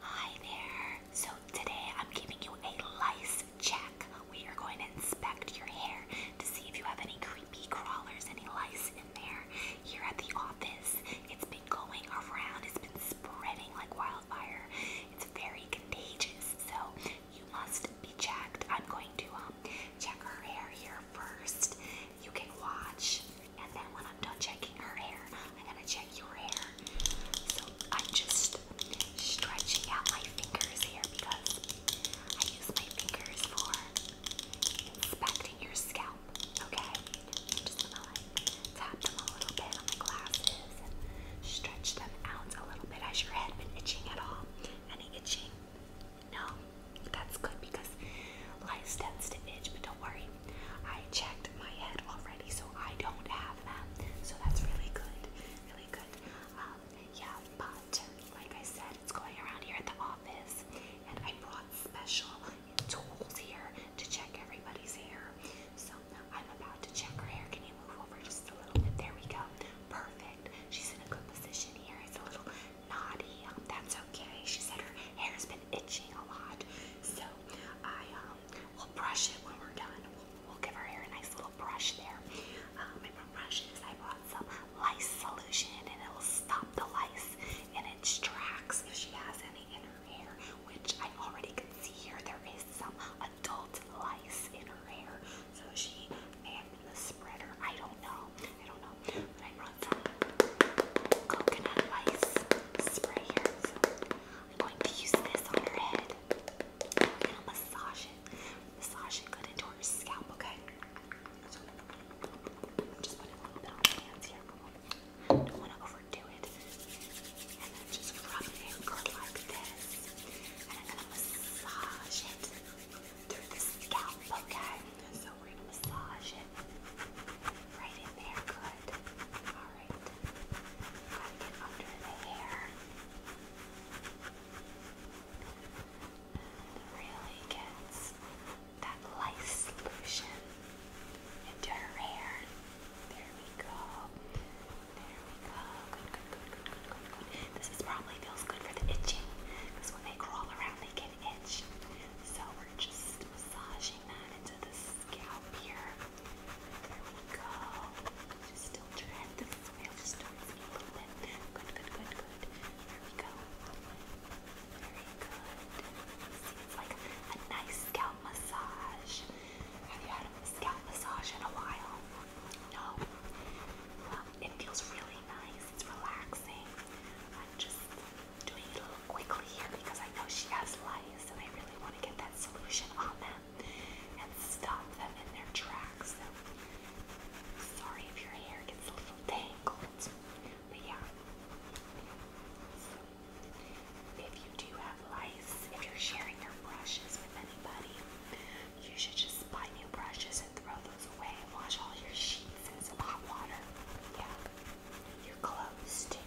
Hi there. So today I'm giving you a lice check. We are going to inspect your hair to see if you have any creepy crawlers, any lice in there. Here at the office, it's been going around, it's been spreading like wildfire. It's very contagious, so you must be checked. I'm going to um, check her hair here first, you can watch. And then when I'm done checking her hair, I'm gonna check your hair. So I'm just stretching out my fingers here because I use my fingers for inspecting your scalp. Okay? just gonna like tap them a little bit on my glasses and stretch them out a little bit. Has your head been itching at all? Any itching? No, that's good because lice tends to itch, but don't worry. I checked my head already, so I don't have that. So that's really good, really good. Um, yeah, but like I said, it's going around here at the office, and I brought special tools here to check everybody's hair. So I'm about to check her hair. Can you move over just a little bit? There we go. Perfect. She's in a good position here. It's a little naughty. Um, that's okay. She said her hair's been itching a lot, so I um, will brush it when we're done. We'll, give her hair a nice little brush there. Um, and for brushes, I brought some lice solution, and it will stop the lice and its tracks if she has any in her hair, which I already can see here. There is some adult lice in her hair, so she may have a spreader. I don't know. I don't know. But I brought coconut ice spray here. So I'm going to use this on her head. massage it. Massage it good into her scalp, okay? just put a little bit on hands here. Don't want to overdo it. And then just rub it in good like this. And i massage it through the scalp, okay? So we're gonna massage it right in there, good. Alright. Gotta get under the hair. really gets that light solution into her hair. There we go. There we go. This is probably feels good for the itching because when they crawl around, they can itch. So we're just massaging that into the scalp here. There we go. Just tilt your head this way. just a little bit. Good, good, good, good. There we go. Very good. See, it's like a nice scalp massage. Have you had a scalp massage in a while? No. it feels really nice. It's relaxing. I'm just doing it a little quickly here because I know she has lice and I really want to get that solution on them and stop them in their tracks. So, sorry if your hair gets a little tangled. But yeah. So, if you do have lice, if you're sharing your brushes with anybody, you should just buy new brushes and throw those away and wash all your sheets in some hot water. Yeah. Your clothes too.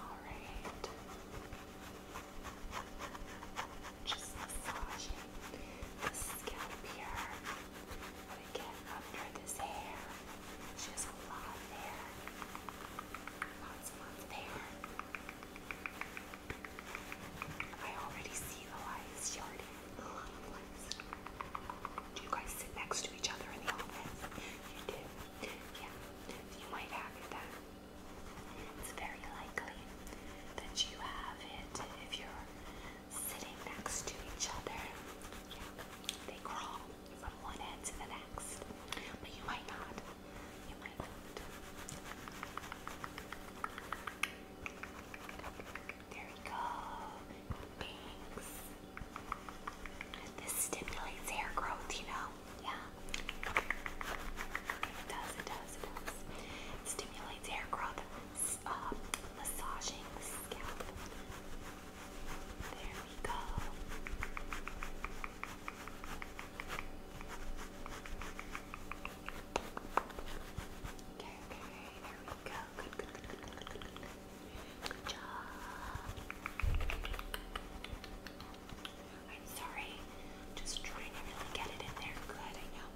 Alright. Just massaging the scalp here. get under this hair. She a lot of hair. Lots and lots hair. I already see Elias yarding a lot of lights. Do you guys sit next to each other in the office? You do? Yeah. You might have it It's very likely that you have it if you're sitting next to each other. Yeah. They crawl from one end to the next. But you might not. You might not. There we go. Thanks. This stimulates hair growth, you know? Yeah. It does, it does, it does. stimulates hair growth. Uh, massaging scalp. There we go. Okay, okay, we go. Good, good, good, good, good, good, good. Good job. I'm sorry. Just trying to really get it in there. Good, I know.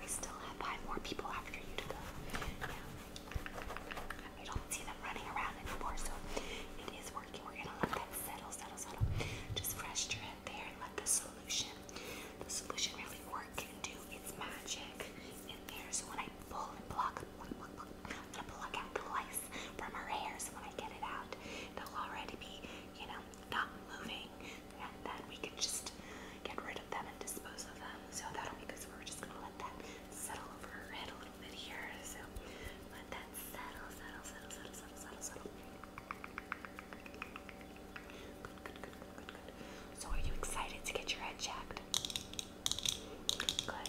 We still have five more people after you to go. Yeah. I don't see them running around anymore, so it is working. We're gonna let that settle, settle, settle. Just fresh your head in there and let the solution, the solution really work and do its magic in there. So when I pull and pluck, pluck, pluck, pluck I'm gonna pluck out the lice from her hair. So when I get it out, they'll already be, you know, not moving, and then we can just get rid of them and dispose of them. So that'll be good. So we're just gonna let that settle over her head a little bit here. So let that settle, settle, settle, settle, settle, settle, settle. So are you excited to get your head checked? Good.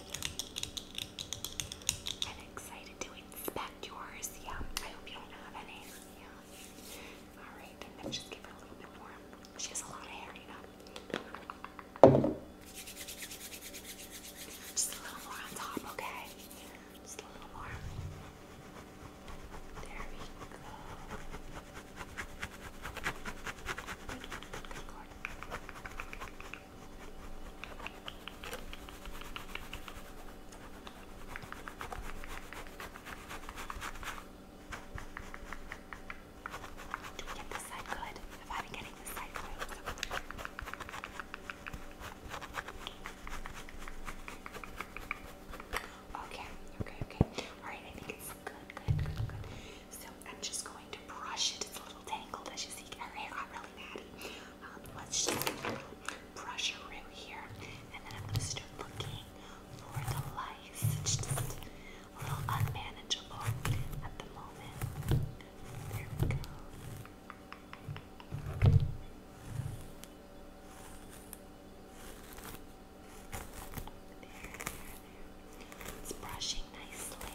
i excited to inspect yours. Yeah. I hope you don't have any. Yeah. Alright, just give her a little bit more. She has a lot of hair, you know. Just a little more on top, okay? Just a little more. There we go. Do we get this side good? Have I been getting this side good? Okay, okay, okay. Alright, I think it's good, good, good, good. So I'm just going to brush it. It's a little tangled as you see. Her hair got really natty. Um, let's brush her through here. And then I'm going to start looking for the lice. a little unmanageable at the moment. There we go. It's brushing nicely.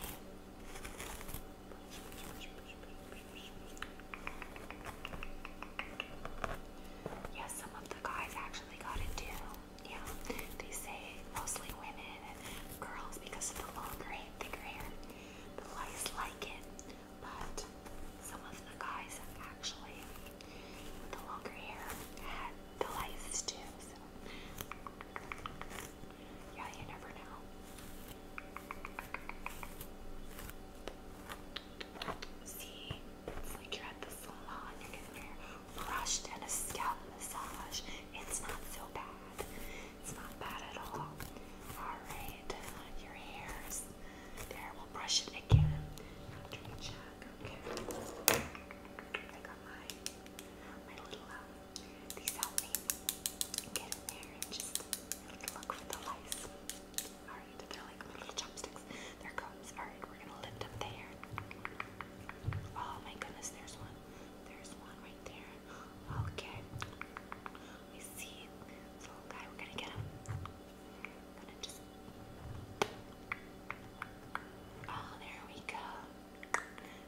Yeah, some of the guys actually got it Yeah, they say mostly women girls because of the longer thicker hair. The lice like it but some of the guys actually the longer hair had the lice too, so yeah, you never know. See, it's like you the salon, you're getting your brushed and a scalp massage. It's not so bad. It's not bad at all. Alright, on uh, your hairs. There, we'll brush it again after check. Okay. I got my my little um these help get in there and just look for the lice. Alright, they're like little chopsticks. They're Alright, we're gonna lift up the hair. Oh my goodness, there's one. There's one right there. Okay we see this little guy. We're gonna get him. I'm gonna just. Oh, there we go.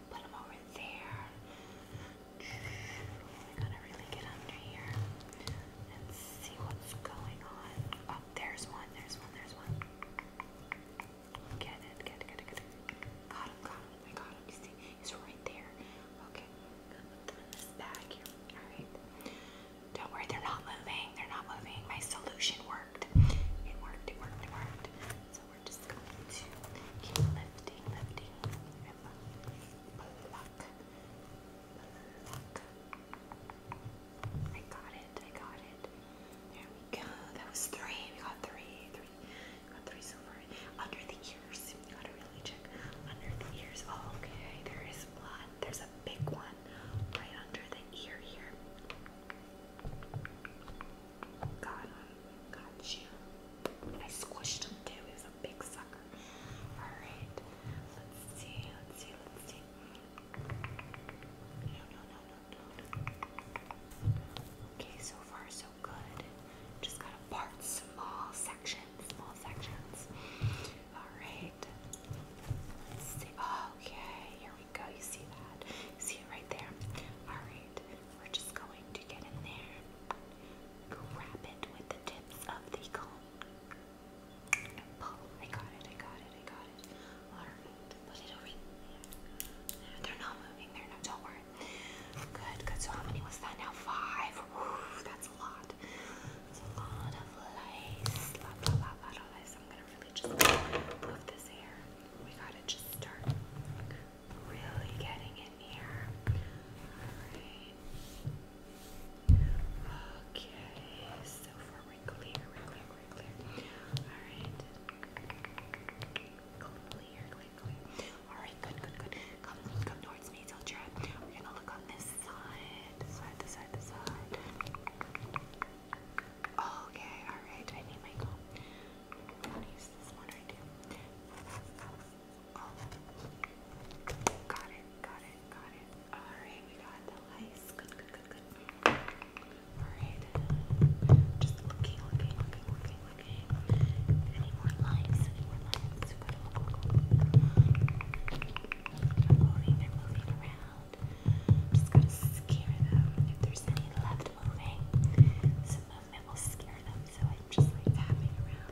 Put him over there. We're gonna really get under here and see what's going on. Oh, there's one. There's one. There's one. Get it. Get it. Get it. Get it. Got him. Got him. I got him. You see. He's right there. Okay, Don't worry, they're not moving. They're not moving. My solution worked. It worked, it worked, it worked. So we're just going to keep lifting, lifting. Pluck. Pluck. I got it, I got it. There we go. That was three. We got three got three so far. Under the ears. You gotta really check. Under the ears. okay. There is blood. There's a big one right under the ear here. Got him. Got you. I squished him too. He a big sucker. Alright. Let's see. Let's see. Let's see. No, no, no, no, no. Okay, so far so good. Just gotta part small sections, small sections. Alright. okay, here we go. You see that? see it right there? Alright, we're just going to get in there, grab it with the tips of the comb, pull. I got it, I got it, I got it. put it over here. They're not moving, they're not, don't worry, Good, good. So how many was that now? Five. Ooh, that's a lot. That's a lot of lice. Lot, lot, lot, lot of I'm gonna really just move this hair. We gotta just start really getting in here. Alright. Okay, so far we're clear, we're clear, we're clear. Alright. Clear, clear, and clear. Alright, good, good, good. Come, come towards me, tilt your head. We're gonna look on this side, this side, this side, this side. Okay, alright, I need my comb. use this one right here. Oh. Got it, got it, got it. Alright, we got the lights. Good, good, good, good. Alright. Just looking, looking, looking, looking, Okay. I need more lights. I need more lights. They're moving. They're moving around. Just gotta scare them. If there's any left moving, some movement will scare them. So I'm just like tapping around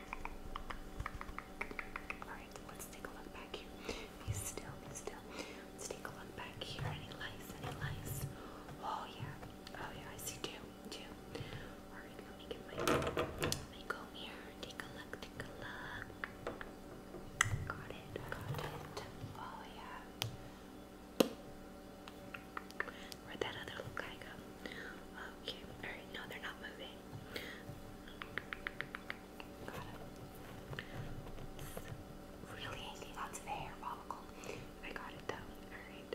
Alright, let's take a look back here. Be still, be still. Let's take a look back here. Any lice? Any lice? Oh yeah. Oh yeah, I see two. Two. Alright, let me get my let go here. Take a look, take a look. Got it, got it. Oh yeah. Where'd that other little guy go? Okay, alright, no, they're not moving. Got it. It's really hanging the hair follicle. I got it though. Alright.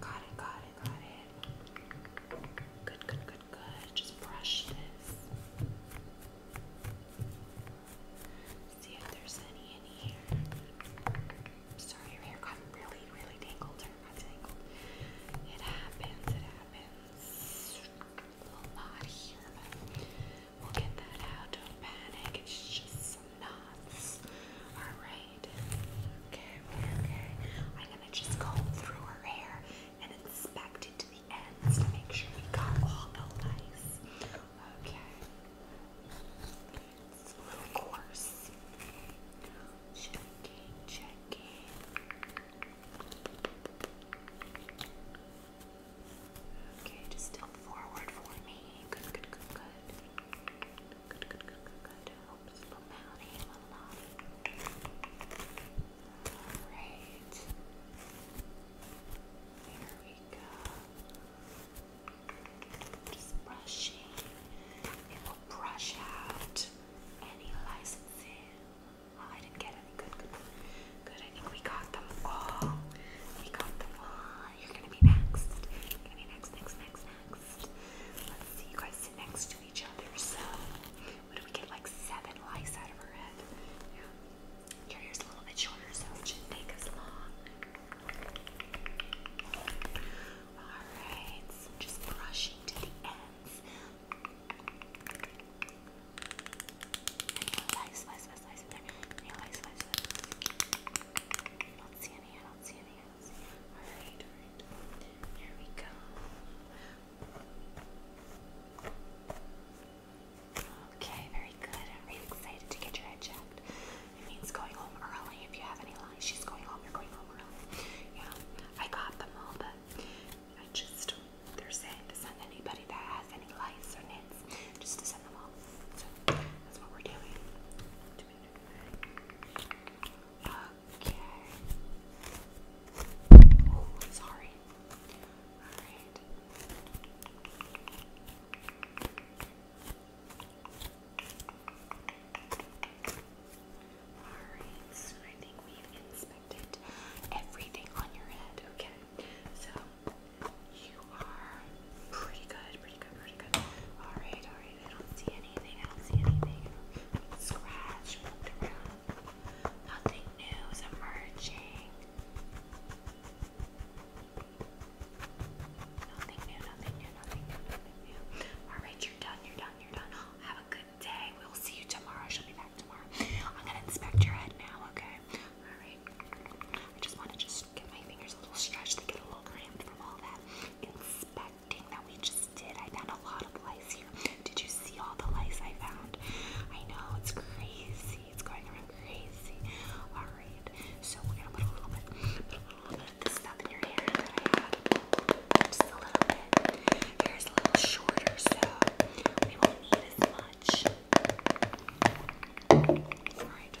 Got it, got it, got it. Good, good, good, good. Just brush this. See if there's any in here sorry, your hair got really, really tangled It happens, it happens a lot here, we'll get that out. Don't panic, it's just knots. Alright. Okay, okay, okay. I'm gonna just go through her hair and inspect it to the ends to make sure we got all the lice. Okay clients, of course. Checking, checking. Okay, just step forward for me. Good, good, good, good. Good, good, good, good, good. Helps about him Here we go. Just brushing. It will brush out any licensing. Oh, I didn't get any. Good, good, I think we got them all. We got them all. You're gonna be next. You're gonna be next, next, next, next. Let's see. You guys sit next to each other. So, what do we get? Like seven lice out of her head. Your hair's a little bit shorter, so it should take as long. Alright, just brushing to the ends. Anyone likes slice, slice, slice I don't see any, I don't see any, I Alright, alright. Here we go. Okay, very good. I'm really excited to get your head checked. It means going home early. If you have any lines, she's going home, you're going home early. Yeah, I got them all, but I just, they're saying to send anybody that has any lights or knits, just to send them all. So that's what we're doing. Okay. Oh, sorry. Alright. Alright, I think we've inspected everything on your head. Okay, so you are pretty good, pretty good, pretty good. Alright, alright, I don't see anything, I don't see anything. Scratch, looked around. Nothing new is emerging. Nothing new, nothing new, nothing new, Alright, you're done, you're done, you're done. Have a good day. We'll see you tomorrow. She'll be back tomorrow. I'm gonna inspect your head now, okay? Alright. I just wanna just get my fingers a little stretched. They get a little cramped from all that inspecting that we just did. I found a lot of lice here. Did you see all the lice I found? I know, it's crazy. It's going around crazy. Alright. So we're gonna put a little bit, a little bit of this stuff in your hair that I have. Just a little bit. Hair a little shorter, so we won't need as much. Alright.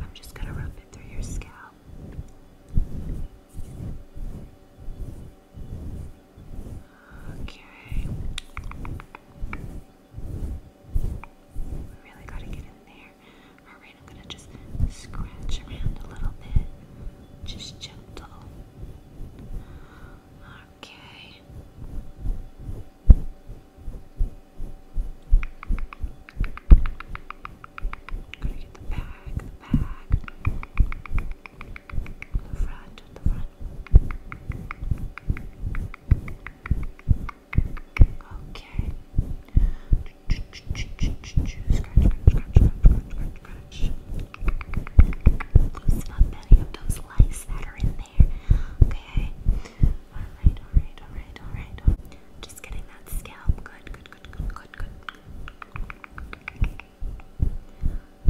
I'm just gonna rub it through your scalp. Okay. We really gotta get in there. Alright, I'm gonna just scratch around a little bit. Just gentle. Okay. Gotta get the back, the back, the front, the front. Okay. Scratch, scratch, scratch, scratch, scratch, Let's not any of those lights that are in there. Okay. Alright, alright, alright, alright. Just getting that scalp. Good, good, good, good, good, good.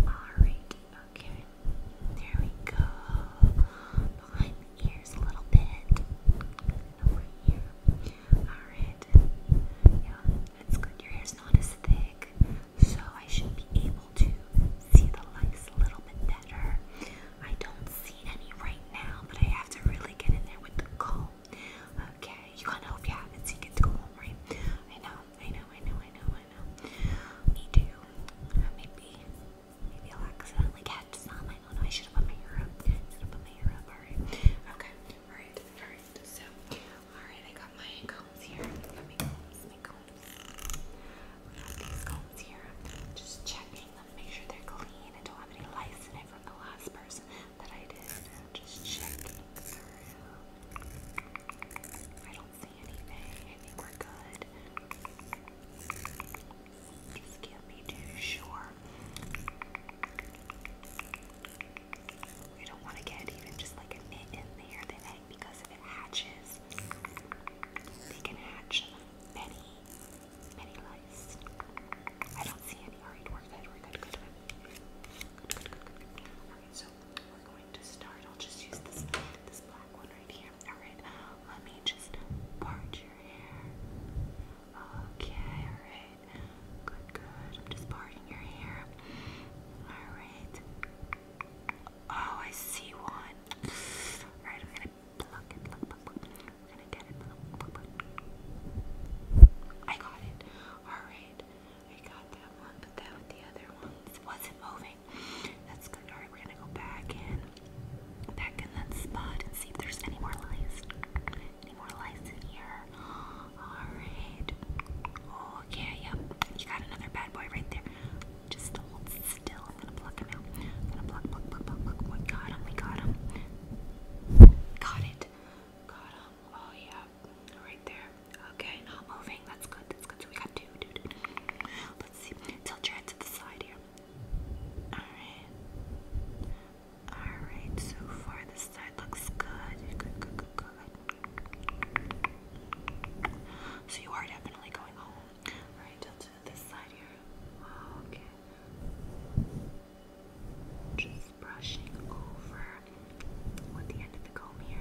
Alright, okay. There we go. Behind the ears a little bit. Over here. Alright. Yeah, that's good. Your hair's not as thick, so I should be able to see the lights a little bit better. I don't see any right now, but I have to really get in there with the comb Okay, you can't help your habits. You get to go home, right? I know, I know, I know, I know, I know. Me too. Maybe, maybe I'll accidentally catch some. I don't know. I should have put my hair up. Should have put my hair up. All right. Okay. All right. All right. So, all right. I got my combs here. Let me combs. My combs. I got these combs here. Just checking them, make sure they're clean. I don't have any lice in it from the last person that I did. just checking through. I don't see anything. I think we're good. Just can't be sure. We don't want to get even just like a knit in there. They like because if it hatches, they can hatch many Many lice. I don't see any. Alright, we're good, we're good, good, good. Good, Alright, so we're going to start. I'll just use this this black one right here. Alright, let me just part your hair. Okay, alright. Good, good. I'm just parting your hair. Alright. Oh, I see one. Alright, I'm gonna pluck it, pluck, pluck, I got it. Alright. I got that one, but that with the other one wasn't moving. That's good. Alright, we're gonna go back in. Back in that spot and see if there's any more lice. Any more lice in here. Alright. Oh, okay, yep. You got another bad boy right there. Just hold still. I'm gonna pluck him out. I'm gonna pluck, pluck, pluck, pluck. We got him. We got him. Got it. Got him. Oh yeah, right there. Okay, not moving. That's good. That's good. So we got two. two, two, two. Let's see. Tilt your head to the side here. All right. All right. So far, this side looks good. Good. Good. Good. Good. So you are definitely going home. All right. Tilt to this side here. Okay. Just brushing over with the end of the comb here.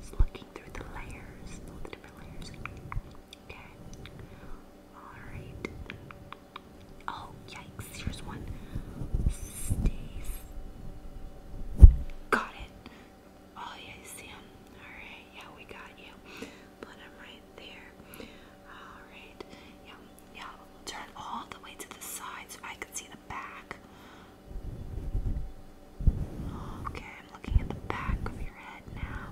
Just looking through the layers, all the different layers. Okay. Alright. Oh, yikes. Here's one. Stays. Got it. Oh, yeah, you see him? Alright, yeah, we got you. Put him right there. Alright, yeah, yeah, turn all the way to the side so I can see the back. Okay, I'm looking at the back of your head now.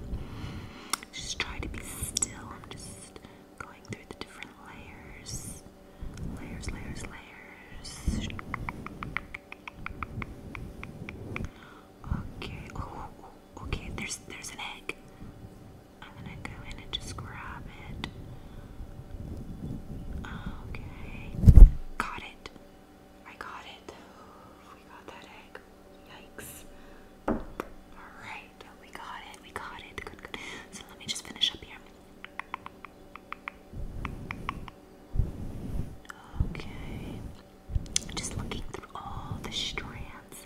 Just try to be still. I'm just going through the different layers. Layers, layers, layers. Okay okay, there's there's an egg. I'm gonna go in and just grab it. Okay. Got it. I got it. We got that egg. Yikes. Alright, we got it, we got it. Good, good. So let me just finish up here. Okay. Just looking through all the strand strands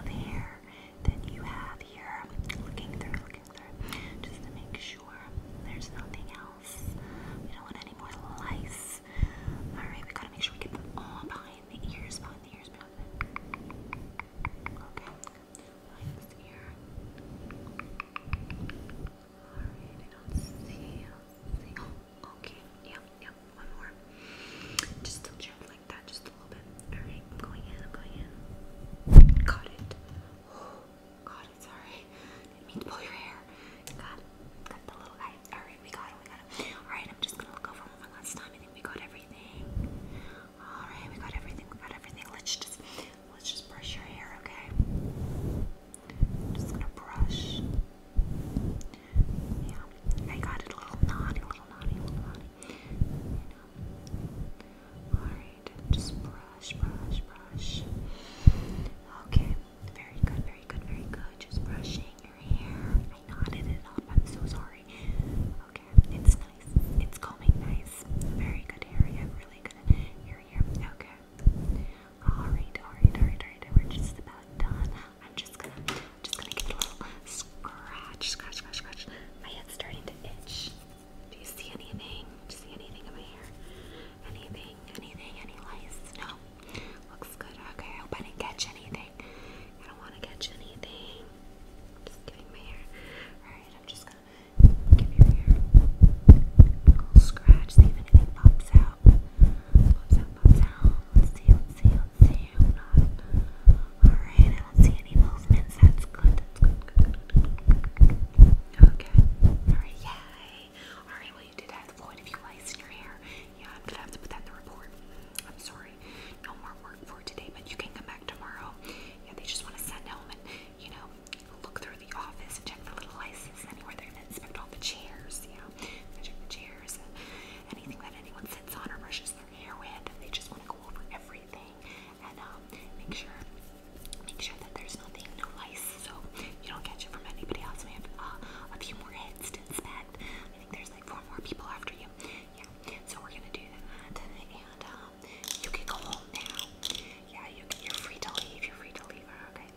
of hair that you have here. Looking through, looking through, just to make sure there's nothing else. We don't want any more lice. Alright, we gotta make sure we get them all behind the ears, behind the ears, behind the ears. Okay, behind this Alright, I don't see, I see. okay, yeah, yeah one more. Just to check like that, just a little bit. Alright, going in, going in. Got it. got it, sorry. did mean to pull your hair. Got it. Got the little guy. Alright, we got it, we got it. Alright, I'm just gonna look over one last time. I think we got everything. Alright, we got everything, we got everything. Let's just let's just brush your hair, okay? just gonna brush. Yeah, I got it little naughty, little naughty, little naughty. You know. Alright, just brush, brush, brush. Okay, very good, very good, very good. Just brushing your hair. I knotted it up, I'm so sorry. Okay, it's nice. It's combing nice. Very good hair. You have really good hair here. Okay. Alright, alright, alright, alright. We're just about done. I'm just gonna, just gonna give a little scratch, scratch, scratch, scratch. My head's starting to itch. Do you see anything? Do you see anything over here? Anything? Anything? Any lice? No. Looks good. Okay, I hope I didn't catch anything. I don't want to catch anything. I'm just giving my hair. Alright, I'm just gonna give your hair a little scratch, see if anything pops out. Pops out, pops out. Let's see, not. Alright, I don't see any movements. That's good. That's good. Okay. Alright, yay. Alright, well, you did have the point of you lice in your hair. Yeah, I'm gonna have to put that in the report. I'm sorry. No more work for today, but you can come back tomorrow. Yeah, they just want to send home and, you know, look through the office and check for little lices anywhere. They're gonna inspect all the chairs, yeah. check the chairs and anything that anyone sits on or brushes hair with, they just want to go over everything and um, make sure make sure that there's nothing, no lice, so you don't catch it from anybody else. We have uh, a few more heads to inspect. I think there's like four more people after you. Yeah, so we're gonna do that, and um, you can go home now. Yeah, you, you're free to leave. You're free to leave. Okay.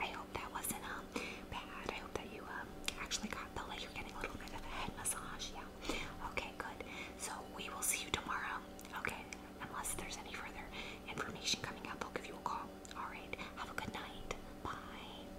I hope that wasn't um bad. I hope that you um, actually got the like you're getting a little bit of a head massage. Yeah. Okay, good. So we will see you tomorrow. Okay. Unless there's any further information coming up, I'll give you a call. All right. Have a good night. Bye.